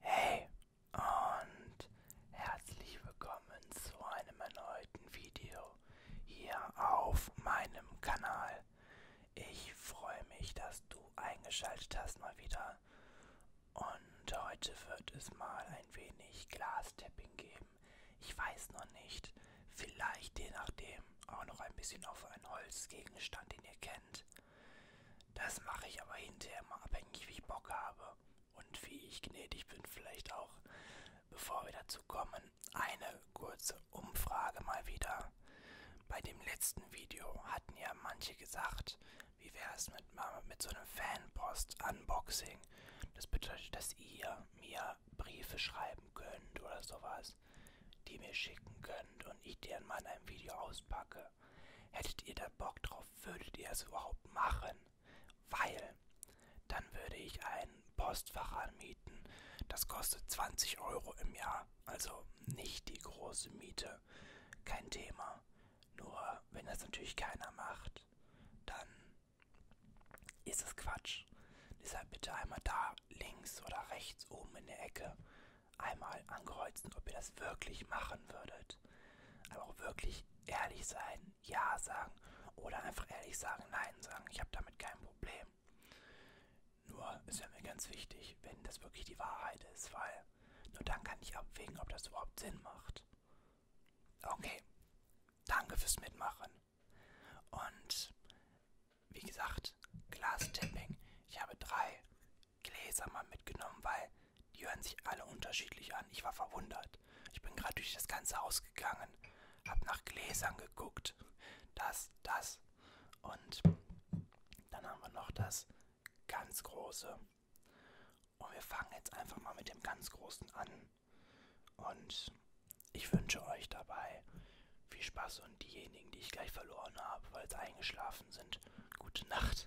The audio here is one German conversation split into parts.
Hey und herzlich willkommen zu einem erneuten Video hier auf meinem Kanal. Ich freue mich, dass du eingeschaltet hast mal wieder. Und heute wird es mal ein wenig Glastapping geben. Ich weiß noch nicht, vielleicht je nachdem auch noch ein bisschen auf einen Holzgegenstand, den ihr kennt. Das mache ich aber hinterher mal abhängig, wie ich Bock habe und wie ich gnädig bin. Vielleicht auch, bevor wir dazu kommen, eine kurze Umfrage mal wieder. Bei dem letzten Video hatten ja manche gesagt, wie wäre es mit, mit so einem Fanpost-Unboxing? Das bedeutet, dass ihr mir Briefe schreiben könnt oder sowas, die mir schicken könnt und ich deren mal in einem Video auspacke. Hättet ihr da Bock drauf, würdet ihr es überhaupt machen? Weil dann würde ich ein Postfach anmieten. Das kostet 20 Euro im Jahr. Also nicht die große Miete. Kein Thema. Nur wenn das natürlich keiner macht, dann ist es Quatsch. Deshalb bitte einmal da links oder rechts oben in der Ecke einmal ankreuzen, ob ihr das wirklich machen würdet. Aber auch wirklich ehrlich sein, ja sagen oder einfach ehrlich sagen, nein sagen. Ich habe damit kein Problem. Nur ist ja mir ganz wichtig, wenn das wirklich die Wahrheit ist, weil nur dann kann ich abwägen, ob das überhaupt Sinn macht. Okay, danke fürs Mitmachen. Und wie gesagt, Glass Tipping. Ich habe drei Gläser mal mitgenommen, weil die hören sich alle unterschiedlich an. Ich war verwundert. Ich bin gerade durch das ganze Haus gegangen, habe nach Gläsern geguckt. Das, das. Und dann haben wir noch das ganz große. Und wir fangen jetzt einfach mal mit dem ganz großen an. Und ich wünsche euch dabei viel Spaß und diejenigen, die ich gleich verloren habe, weil sie eingeschlafen sind, und gute Nacht.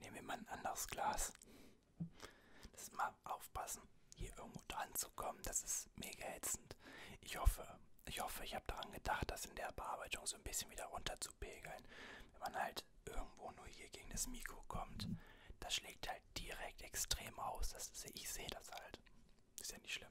Nehmen wir mal ein anderes Glas. Das ist mal aufpassen, hier irgendwo dran zu kommen. Das ist mega jetzt passend. Ich hoffe, ich hoffe, ich habe daran gedacht, das in der Bearbeitung so ein bisschen wieder runterzupegeln. Wenn man halt irgendwo nur hier gegen das Mikro kommt, das schlägt halt direkt extrem aus. Das ist, ich sehe das halt. Ist ja nicht schlimm.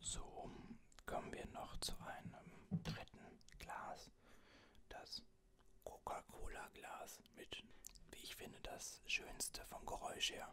So kommen wir noch zu einem dritten Glas, das Coca-Cola-Glas mit, wie ich finde, das Schönste vom Geräusch her.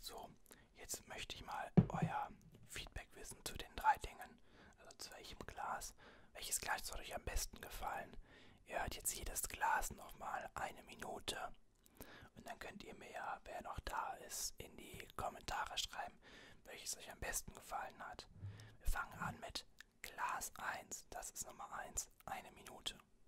So, jetzt möchte ich mal euer Feedback wissen zu den drei Dingen. Also zu welchem Glas. Welches Glas soll euch am besten gefallen? Ihr hört jetzt jedes Glas nochmal eine Minute. Und dann könnt ihr mir ja, wer noch da ist, in die Kommentare schreiben, welches euch am besten gefallen hat. Wir fangen an mit Glas 1. Das ist Nummer 1. Eine Minute.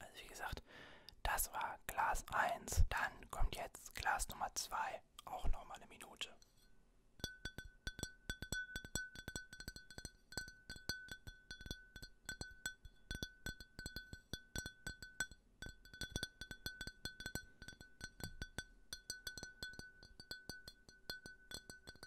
Also wie gesagt, das war Glas 1. Dann kommt jetzt Glas Nummer 2, auch nochmal eine Minute.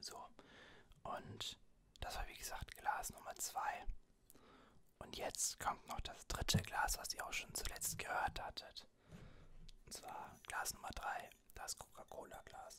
So, und das war wie gesagt Glas Nummer 2. Und jetzt kommt noch das dritte Glas, was ihr auch schon zuletzt gehört hattet. Und zwar Glas Nummer 3, das Coca-Cola-Glas.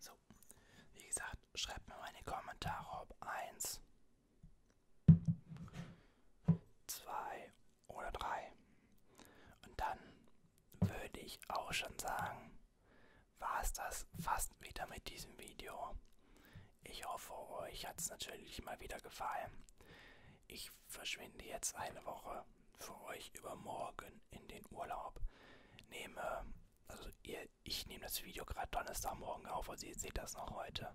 So, wie gesagt, schreibt mir mal in die Kommentare, ob eins, zwei oder drei. Und dann würde ich auch schon sagen, war es das fast wieder mit diesem Video. Ich hoffe, euch hat es natürlich mal wieder gefallen. Ich verschwinde jetzt eine Woche für euch übermorgen in den Urlaub. Nehme, also ihr, ich nehme das Video gerade Donnerstagmorgen auf, also ihr seht das noch heute.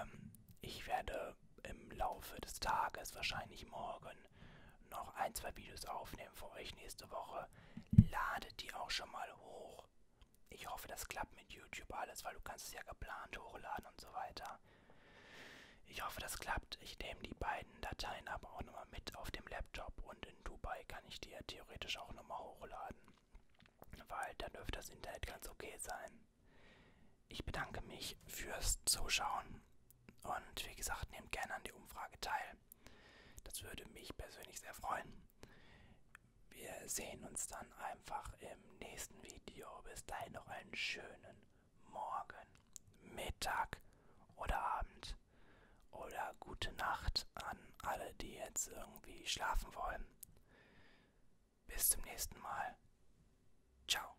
Ähm, ich werde werde im Laufe des Tages, wahrscheinlich morgen, noch ein, zwei Videos aufnehmen für euch nächste Woche. Ladet die auch schon mal hoch. Ich hoffe, das klappt mit YouTube alles, weil du kannst es ja geplant hochladen und so weiter. Ich hoffe, das klappt. Ich nehme die beiden Dateien aber auch nochmal mit auf dem Laptop und in Dubai kann ich die ja theoretisch auch nochmal hochladen. Weil dann dürfte das Internet ganz okay sein. Ich bedanke mich fürs Zuschauen und wie gesagt, nehmt gerne an der Umfrage teil. Das würde mich persönlich sehr freuen. Wir sehen uns dann einfach im nächsten Video. Bis dahin noch einen schönen Morgen, Mittag oder Abend oder gute Nacht an alle, die jetzt irgendwie schlafen wollen. Bis zum nächsten Mal. Ciao.